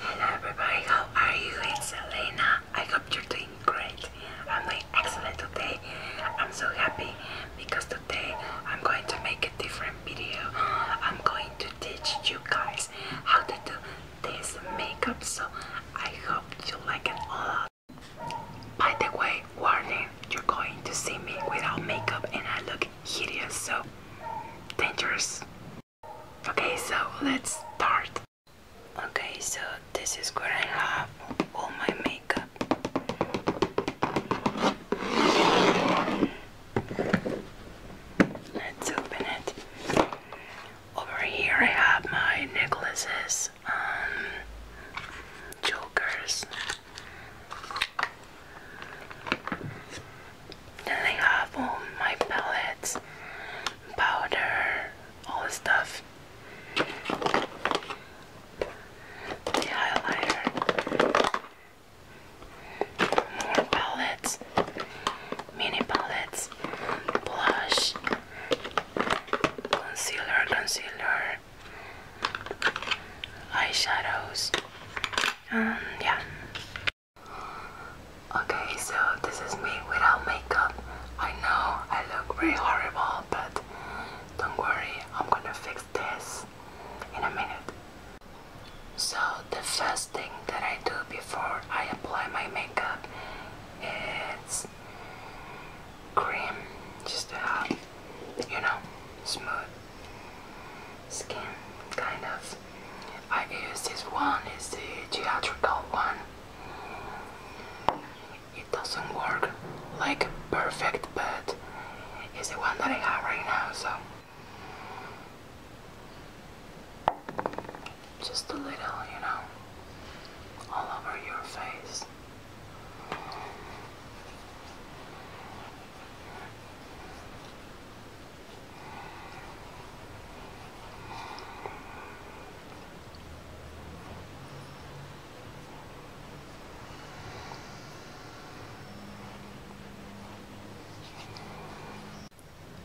Hello everybody, how are you? It's Elena. I hope you're doing great. I'm doing excellent today. I'm so happy because today I'm going to make a different video. I'm going to teach you guys how to do this makeup so I hope you like it a lot. By the way, warning, you're going to see me without makeup and I look hideous so dangerous. Okay, so let's start. Okay, so this is where I have all my makeup. Let's open it. Over here I have my necklaces, um, jokers. Then I have all my pellets, powder, all the stuff. highlighter, more palettes, mini palettes, blush, concealer, concealer, eyeshadows, and yeah, Okay, so this is me without makeup. I know I look really horrible, but don't worry, I'm gonna fix this in a minute. So, the first thing that I do before I apply my makeup is cream, just to have, you know, smooth skin, kind of. I use this one, it's the theatrical one. It doesn't work like perfect, but it's the one that I have right now, so. Just a little, you know, all over your face.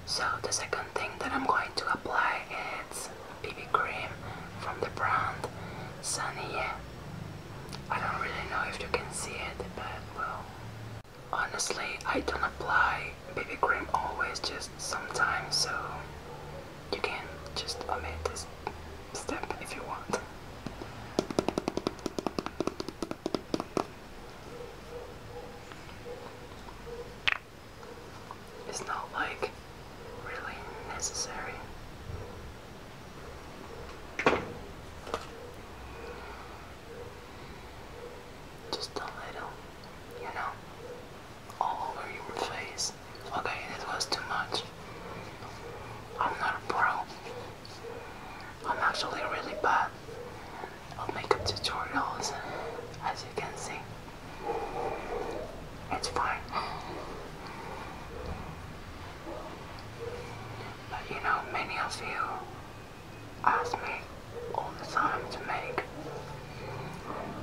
So the second thing that I'm going to apply is BB cream from the brand Sunny. I don't really know if you can see it, but well, Honestly, I don't apply baby cream always, just sometimes, so you can just omit this step if you want. It's not like really necessary. Just a little, you know, all over your face. Okay, that was too much. I'm not a pro. I'm actually really bad at makeup tutorials, as you can see. It's fine. But you know, many of you ask me all the time to make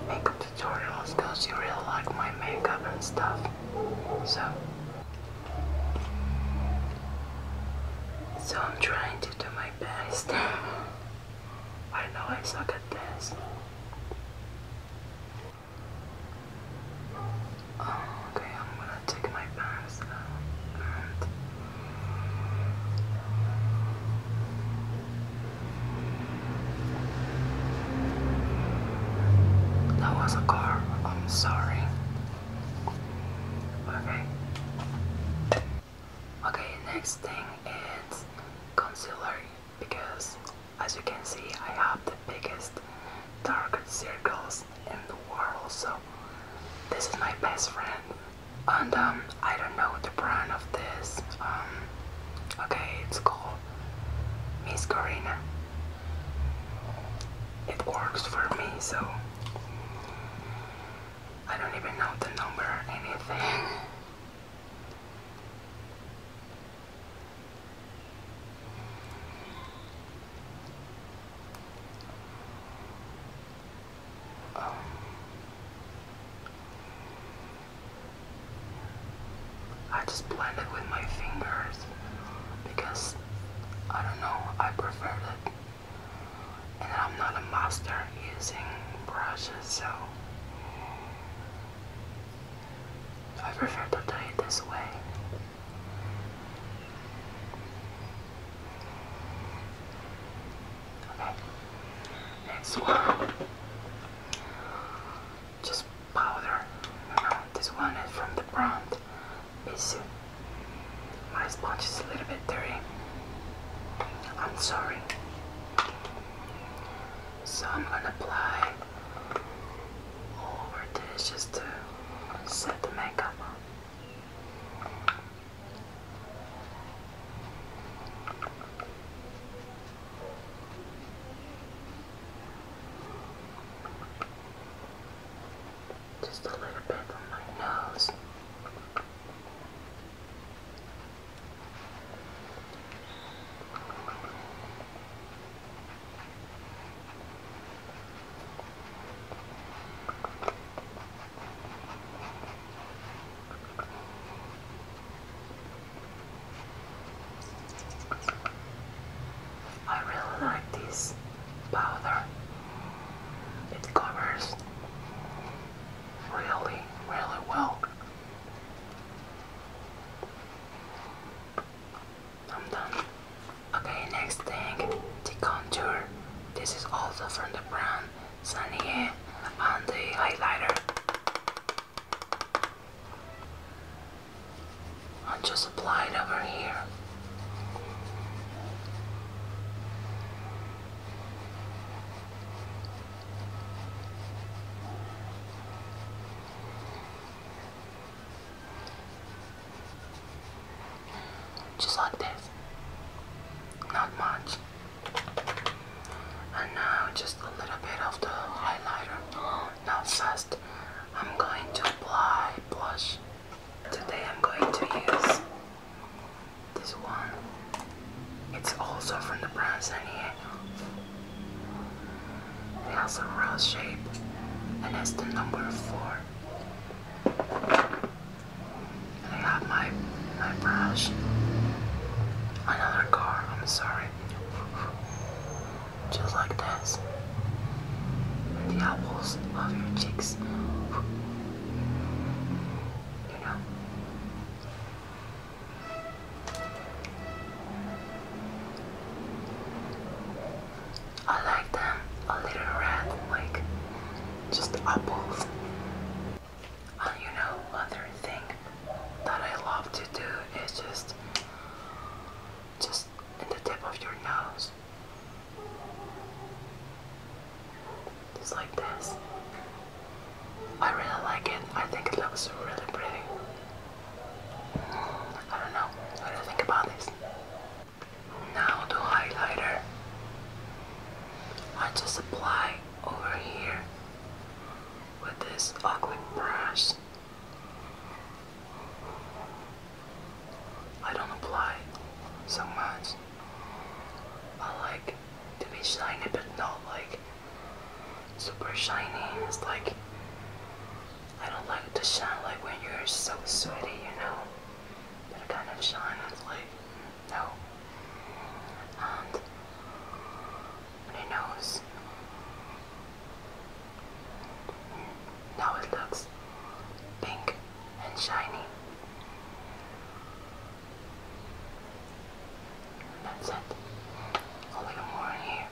makeup tutorials because you really like my makeup and stuff. So, so I'm trying to do my best. I know I suck at this. Um, Okay, I'm gonna take my pants now that was a car. I'm sorry. Okay. Okay, next thing is concealer because as you can see I have the biggest dark circles in the world so this is my best friend. And um, I don't know the brand of this. Um, okay, it's called Miss Corina. It works for me, so I don't even know the number or anything. I just blend it with my fingers because I don't know, I prefer it. And I'm not a master using brushes, so I prefer to do it this way. Okay. Next one. Just powder. No, this one is from the brand. It's, uh, my sponge is a little bit dirty. I'm sorry. So I'm gonna apply all over this just to set the makeup on. Just a little bit on my nose. I really like this powder. It covers really, really well. I'm done. Okay, next thing, the contour. This is also from the brand Sunny and the highlighter. I'll just apply it over here. Just like this. Not much. And now just a little bit of the highlighter. Not fast. I'm going to apply blush. Today I'm going to use this one. It's also from the brand Sanier. It has a round shape and it's the number 4. And I got my my brush. Another car, I'm sorry. Just like this. The apples of your cheeks. You know. I like them a little red, like just apples. And you know, other thing that I love to do is just, just in the tip of your nose, just like this. I really like it. I think it looks really pretty. I don't know. What do you think about this? Now the highlighter. I just apply over here with this ugly brush. I don't apply so much. I like to be shiny but not like super shiny. It's like I don't like to shine like when you're so sweaty, you know. That kind of shines like, no. And my nose. Now it looks pink and shiny. That's it. A little more here.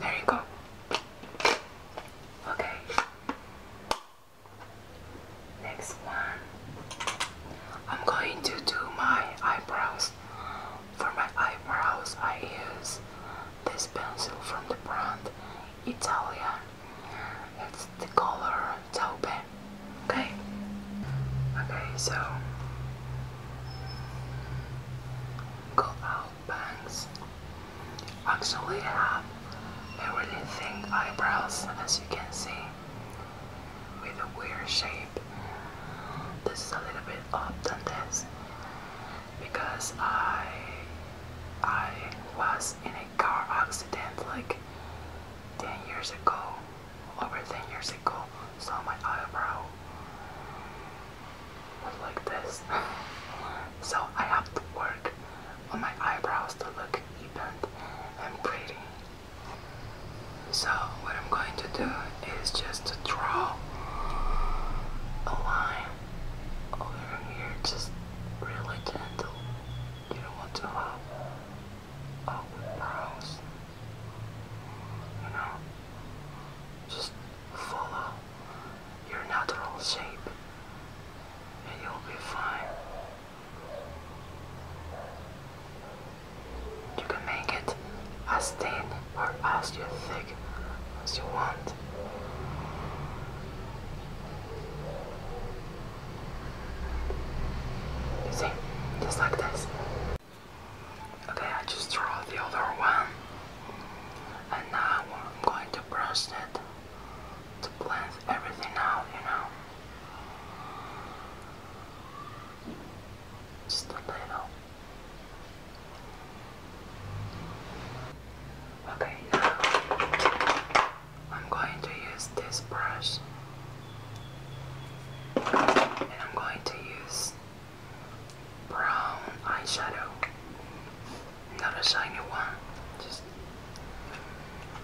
There you go. Okay. Next one. I'm going to do my eyebrows. For my eyebrows, I use this pencil from the brand Italian. It's the color taupe. Okay. Okay, so Go-out bangs actually have really thin eyebrows as you can see with a weird shape. This is a little bit up than this because I I was in a car accident like 10 years ago over 10 years ago, saw my eyebrow look like this. so I have to work on my eyebrows to look even and pretty. So what I'm going to do is just draw a line over here, just really gentle. You don't want to have awkward you know, just follow your natural shape and you'll be fine. You can make it as thin or as thick as you want. You see, just like this. Okay, I just drew the other one. And now I'm going to brush it to blend everything out, you know. Just a little. Okay, now I'm going to use this brush and I'm going to use brown eyeshadow. Not a shiny one. Just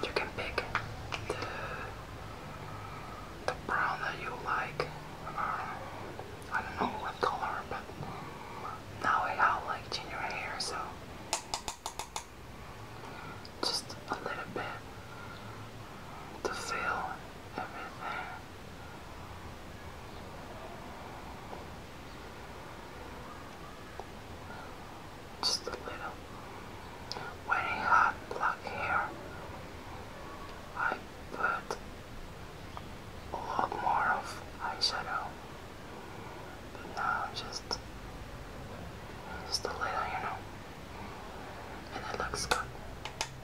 you can pick the the brown that you like. Um, I don't know what color, but now I have like ginger hair, so just a little bit to fill just a little. When he had black hair, I put a lot more of eyeshadow. But now just just a little, you know. And it looks good.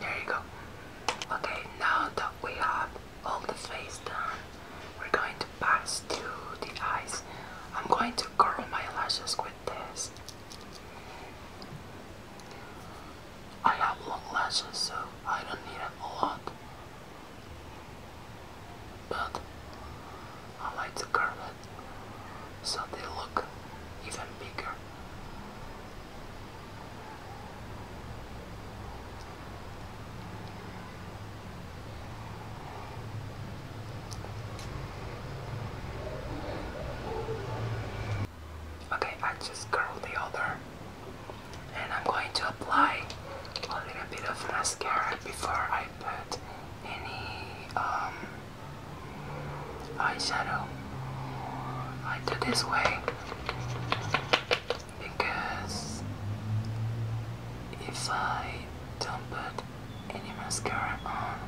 There you go. Okay, now that we have all the face done, we're going to pass through the eyes. I'm going to curl my lashes with this. I have long lashes, so I don't need a lot. But I like to curl it so they look even bigger. Okay, I just curled the other and I'm going to apply a little bit of mascara before I put any um, eyeshadow. I do this way. Because if I don't put any mascara on,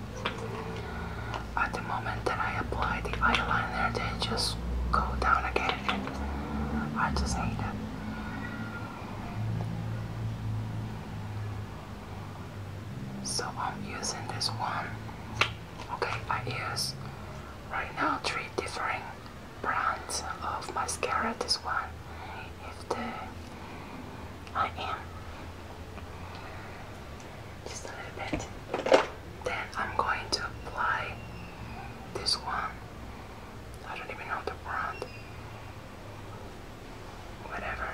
at the moment that I apply the eyeliner, they just go down again. I just hate it. So I'm using this one. Okay, I use right now three different brands of mascara. This one, if the I am just a little bit. Then I'm going to apply this one. I don't even know the brand. Whatever.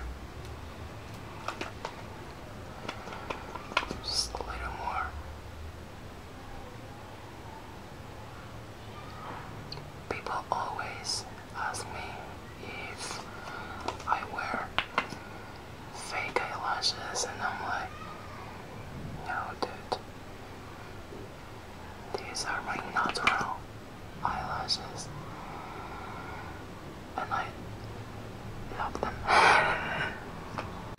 Just a little more. People always ask me if I wear fake eyelashes, and I'm like, no, dude. These are my natural eyelashes, and I love them.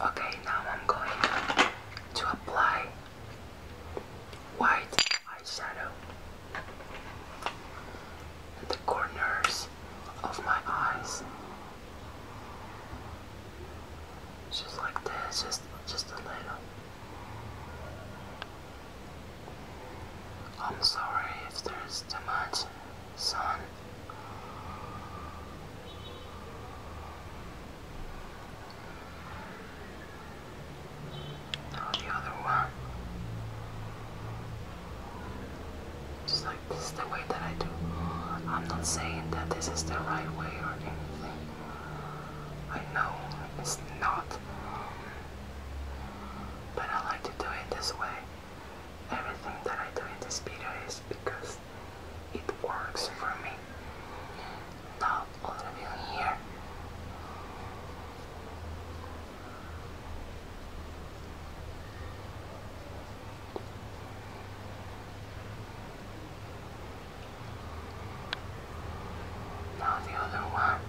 Okay, now I'm going to apply white eyeshadow at the corners of my eyes. Just like this, just just a little. I'm sorry if there's too much sun. Now the other one. Just like this is the way that I do. I'm not saying that this is the right way or anything. I know it's not. But I like to do it this way. Everything that I do in this video is because it works for me. Now, all of you here, now the other one.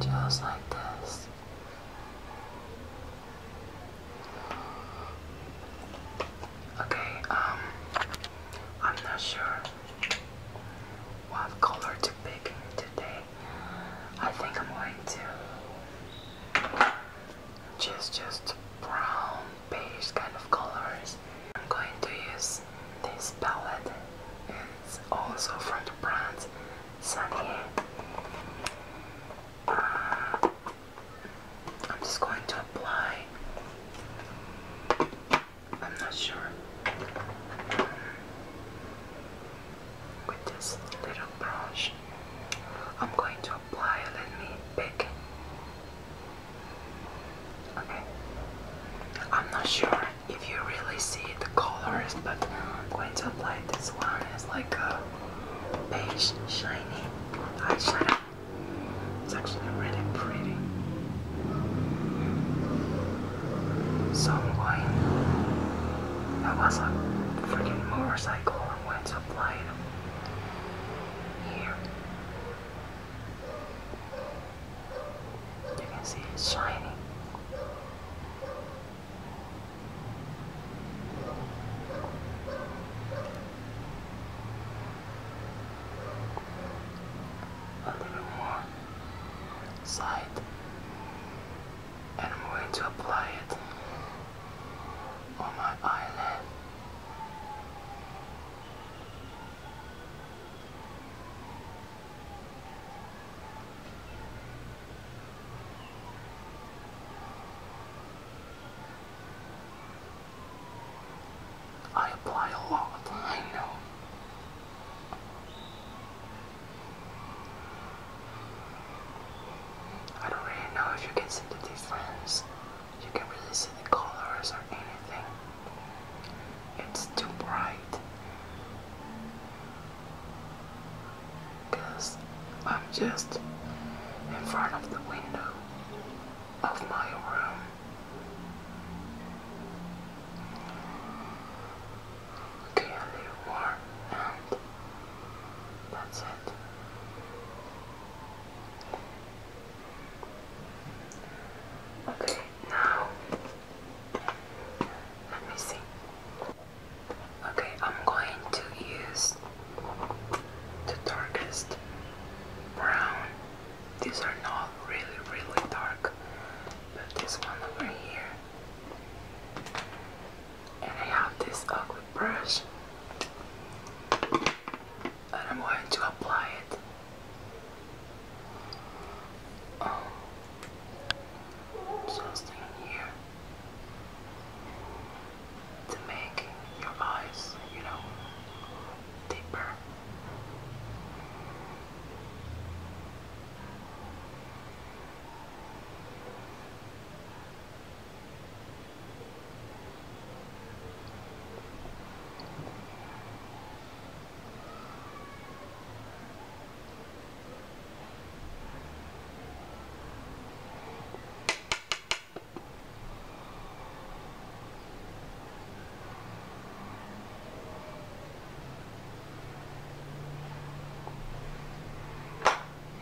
Just like this. Okay, um, I'm not sure what color to pick today. I think I'm going to just just brown beige kind of colors. I'm going to use this palette. It's also from the brand Sunny. Uh, I'm just going to apply. I'm not sure. with this little brush, I'm going to apply. Let me pick Okay. I'm not sure if you really see the colors, but I'm going to apply this one. It's like a beige, shiny eyeshadow. It's actually really pretty. So I'm going. That was a freaking motorcycle. I'm going to apply it here. You can see it's shiny. A little side, and I'm going to apply it on my eyelid. I apply a lot, I know. I don't really know if you can see the difference you can really see the colors or anything. It's too bright. Because I'm just in front of the window of my room. Okay, a little more, and that's it. Okay, now let me see. Okay, I'm going to use the darkest brown. These are not really, really dark, but this one over here. And I have this ugly brush and I'm going to apply it. Just oh. in here to make your eyes, you know, deeper.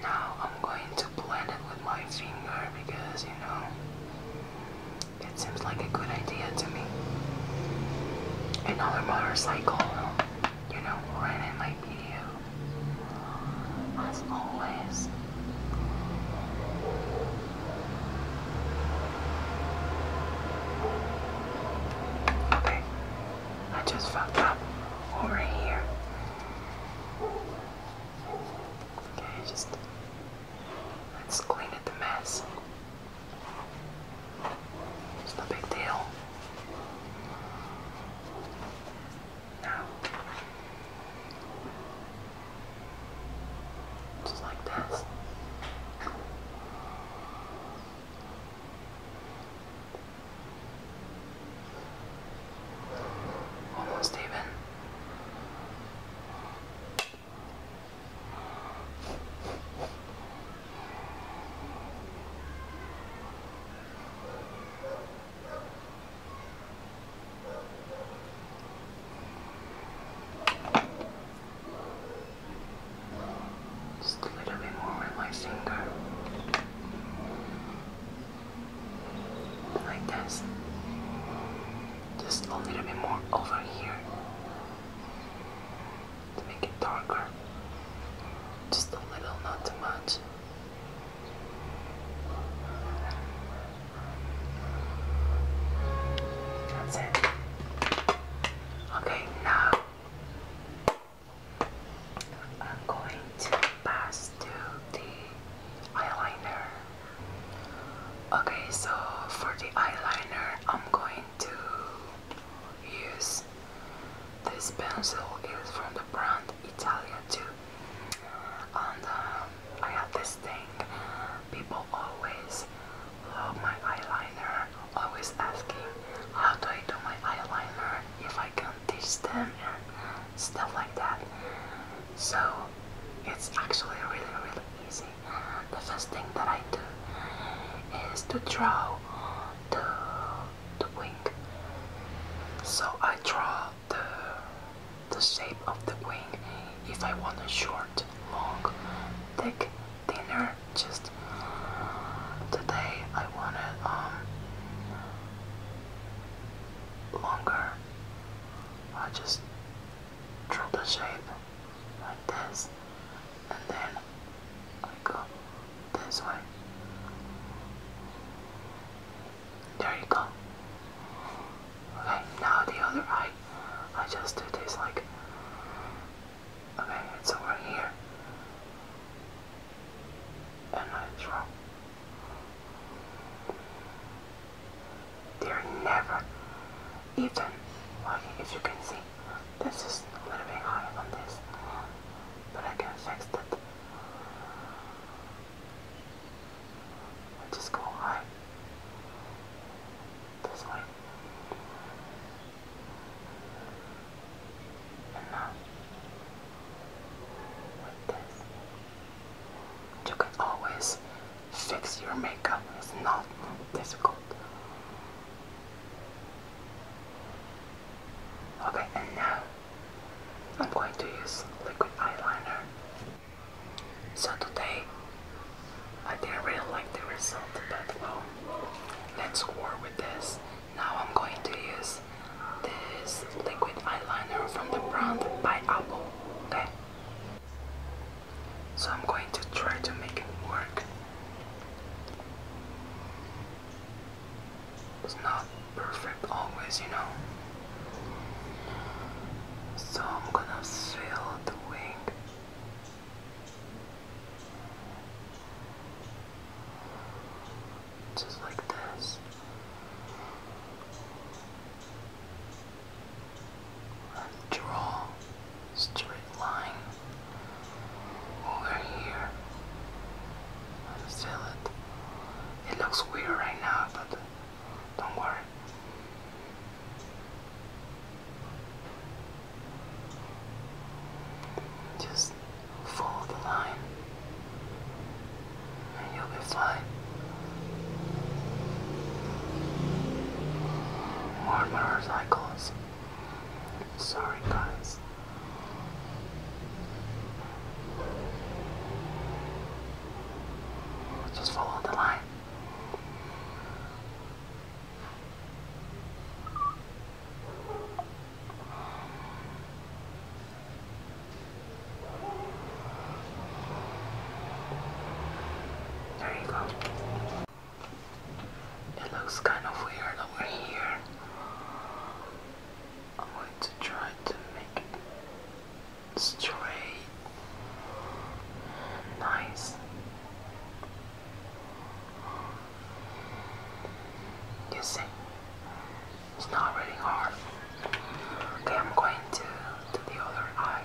Now I'm going to blend it with my finger because you know it seems like a good idea to me. Another motorcycle, you know, right in my video. As always. Okay, I just fucked up over here. Okay, just Let's clean up the mess. It's no big deal. Now, just like this. Almost even. Just a little bit more with my finger like this just a little bit more over here to make it darker just a little not too much that's it okay now I'm going to pass to the eyeliner Okay, so for the eyeliner, I'm going to use this pencil. It's from the brand Italia too. And um, I have this thing. People always love my eyeliner, always asking how do I do my eyeliner, if I can teach them and stuff like that. So it's actually really really easy. The first thing that I do is to draw the, the wing. So I draw the, the shape of the wing if I want a short, long, thick, thinner, just today I want it um, longer I just draw the shape like this and then I go this way. There you go. Okay, now the other eye. I just do this like okay, it's over here. And I draw they're never even working as you can see. This is a little bit higher than this, but I can fix that. i just go high this way. And now with this. You can always fix your makeup, it's not difficult. Okay, and now I'm going to use liquid eyeliner. So today I didn't really like the result, but well, let's work with this. Now I'm going to use this liquid eyeliner from the brand by Apple. Okay. So I'm going to try to make it work. It's not perfect always, you know. So I'm gonna fill the wing just like this. draw straight line over here fill it. It looks weird right now, but don't worry. Just follow the line you'll be fine. More motorcycles. Sorry, guys. Just follow the line. There you go. It looks kind of weird over here. I'm going to try to make it straight. Nice. You see, it's not really hard. Okay, I'm going to, to the other eye.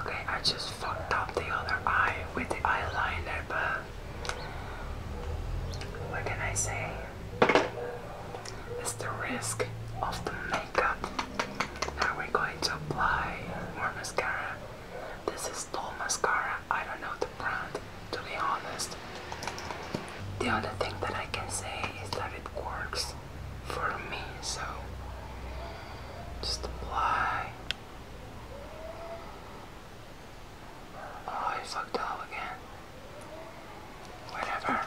Okay, I just fucked up the other eye with the eyeliner, but what can I say? It's the risk of the makeup. Now we're going to apply more mascara. This is Doll Mascara. I don't know the brand, to be honest. The only thing that I can say is that it works for me, so just apply. Oh, I fucked up again. Whatever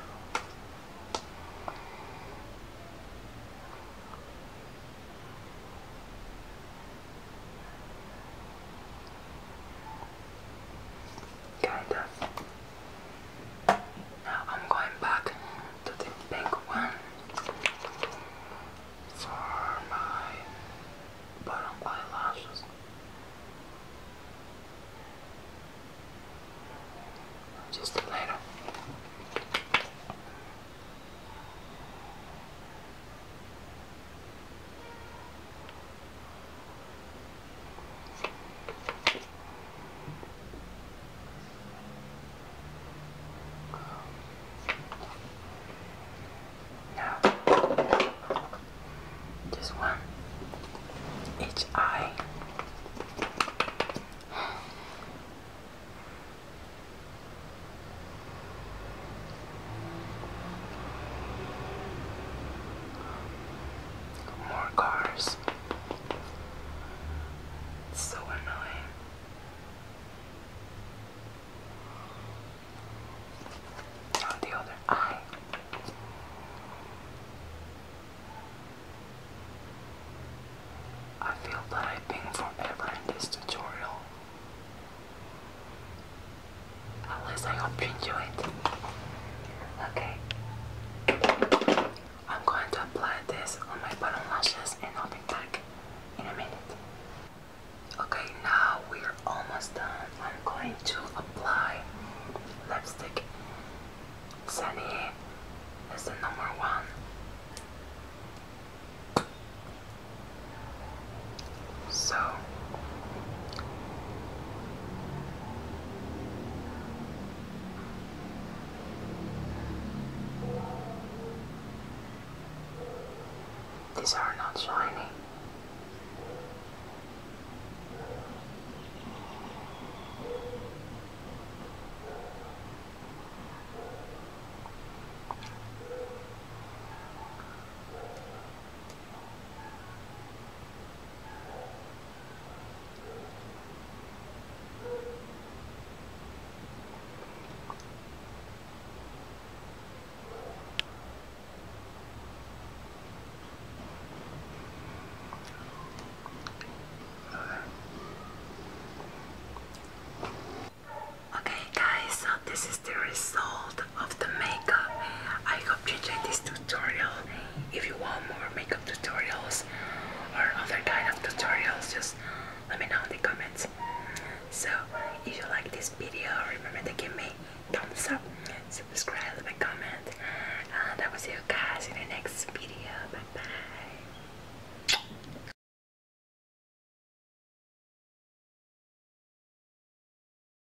kind of. Now I'm going back to the pink one for my bottom eyelashes. Just later. Now, just one each more cars. so annoying. On the other eye. I feel that forever in this tutorial. At least I hope you enjoy it. Okay. I'm going to apply this on my bottom lashes and I'll be back in a minute. Okay, now we're almost done. I'm going to apply lipstick. Sunny is the number one. So these are not shiny. Okay guys, so this is the result of the makeup. I hope you like this tutorial. If you want more makeup tutorials or other kind of tutorials, just let me know in the comments. So if you like this video, remember to give me thumbs up, subscribe, leave a comment, and I will see you guys in the next video. Bye bye.